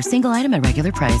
single item at regular price.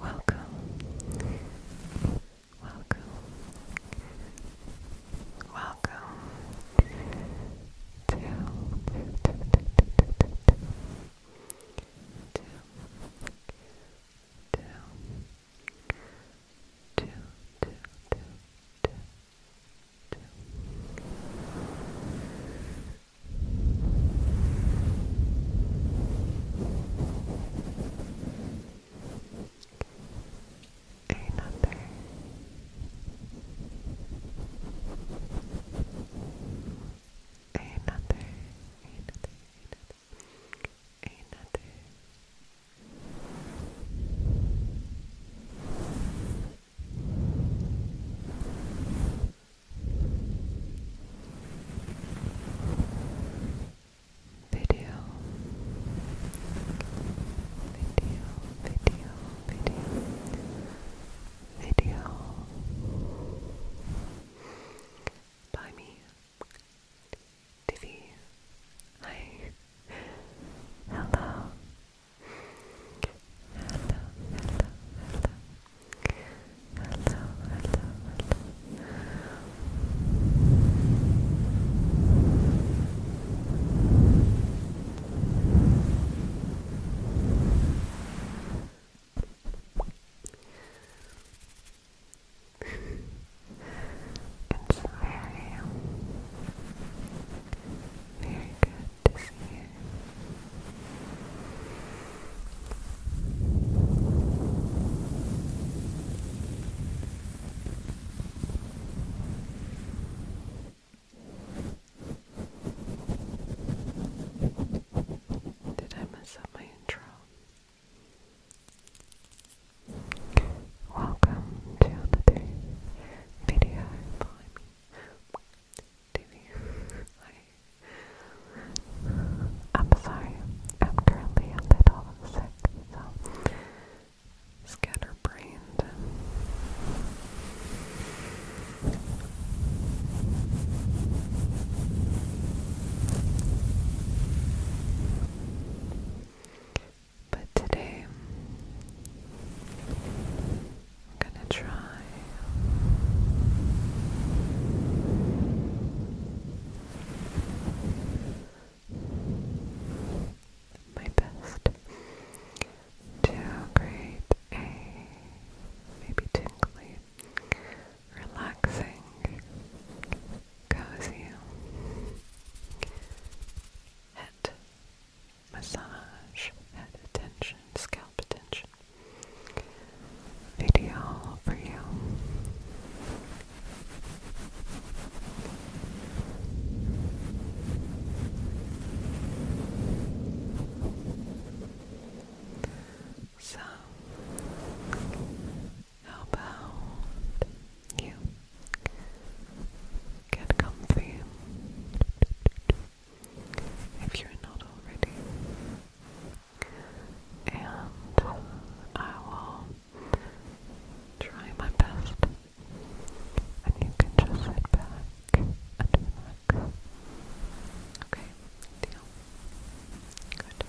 Welcome, welcome, welcome to, to, to, to, to, to, two, two, two, two, two. Another Another, another, another, another. Video, video, video, video, video by me Divi. Hi. Hello. Hello. Hello. Hello. Hello. Hello it's very, very good to see you. Did I mess up my intro? Welcome to another video I'm sorry, I'm currently a little sick, so scatterbrained. But today, I'm gonna try my best to create a maybe tingly, relaxing cozy head massage, head attention, scalp attention video for you. So, how about you? Get comfy if you're not already. And I will try my best. And you can just sit back and relax. Okay, deal. Good.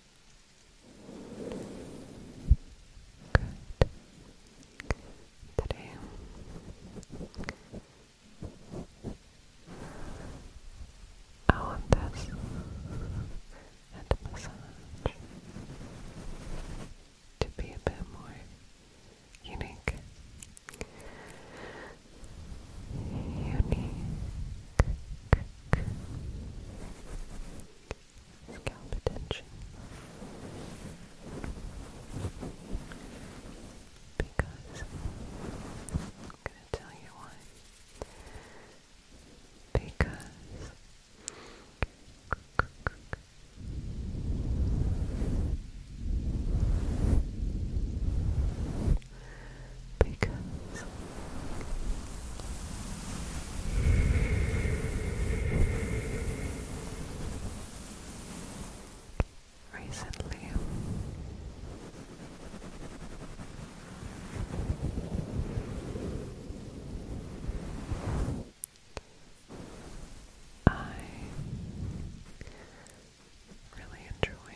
Good. Today I want this and massage to be a bit more unique. Unique scalp attention because I'm going to tell you why. Because because Recently, I really enjoy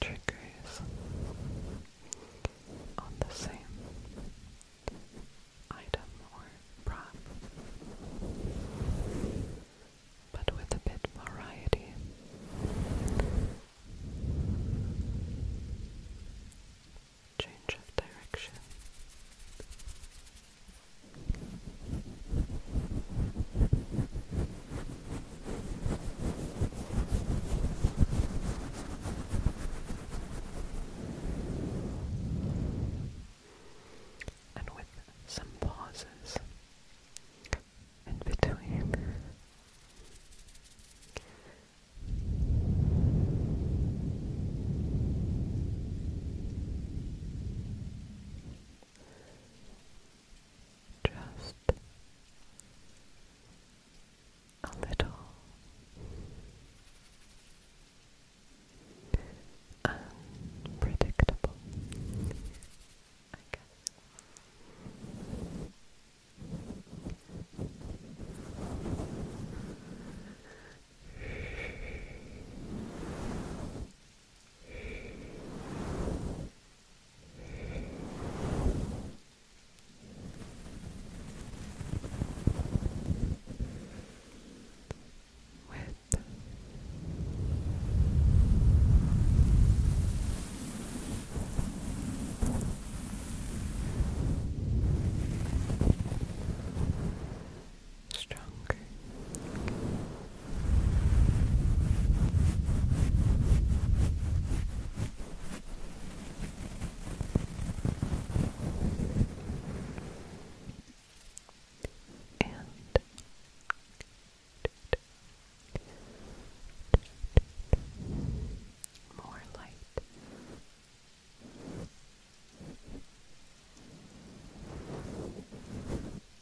triggers on the same item or prop, but with a bit variety. Change of direction and with some pauses in between just a little unpredictable, I guess with stronger and more light. Good.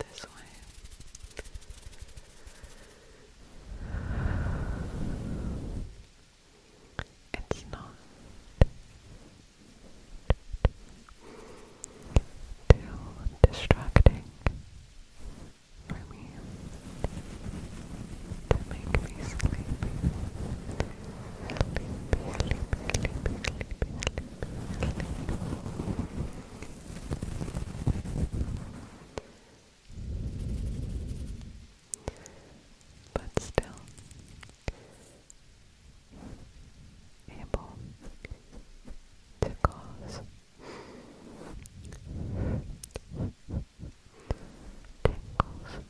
This way. It's not too distracting for me. But still able to cause tingles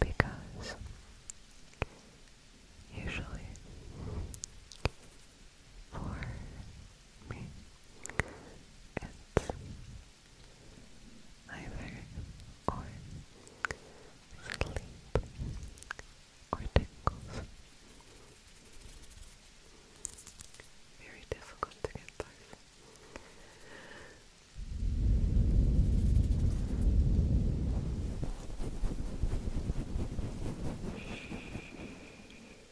Because usually for me. It's either or sleep or tingles. Very difficult to get both.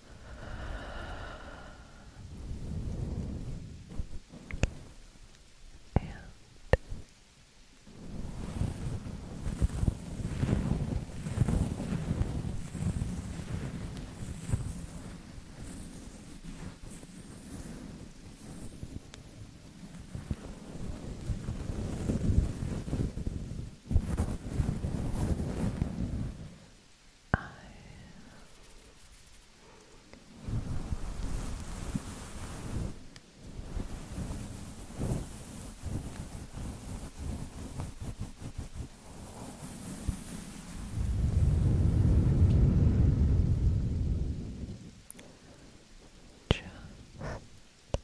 and Good. I just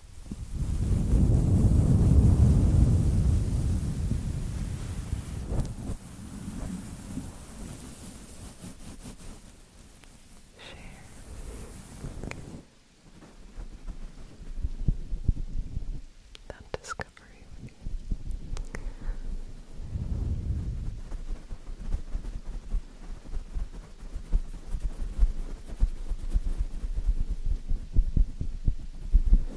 that discovery with you.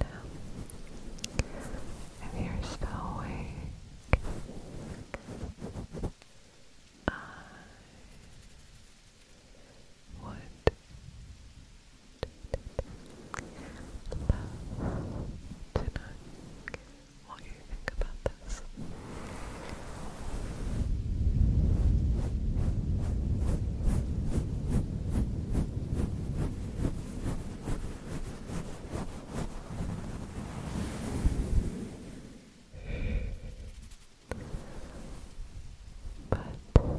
Now, if you're still awake, I uh, would love to know what you think about this. But most importantly,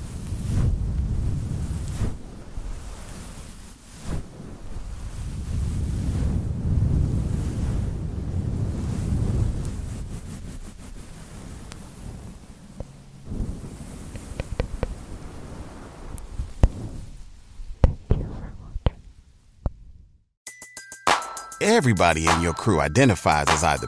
Everybody in your crew identifies as either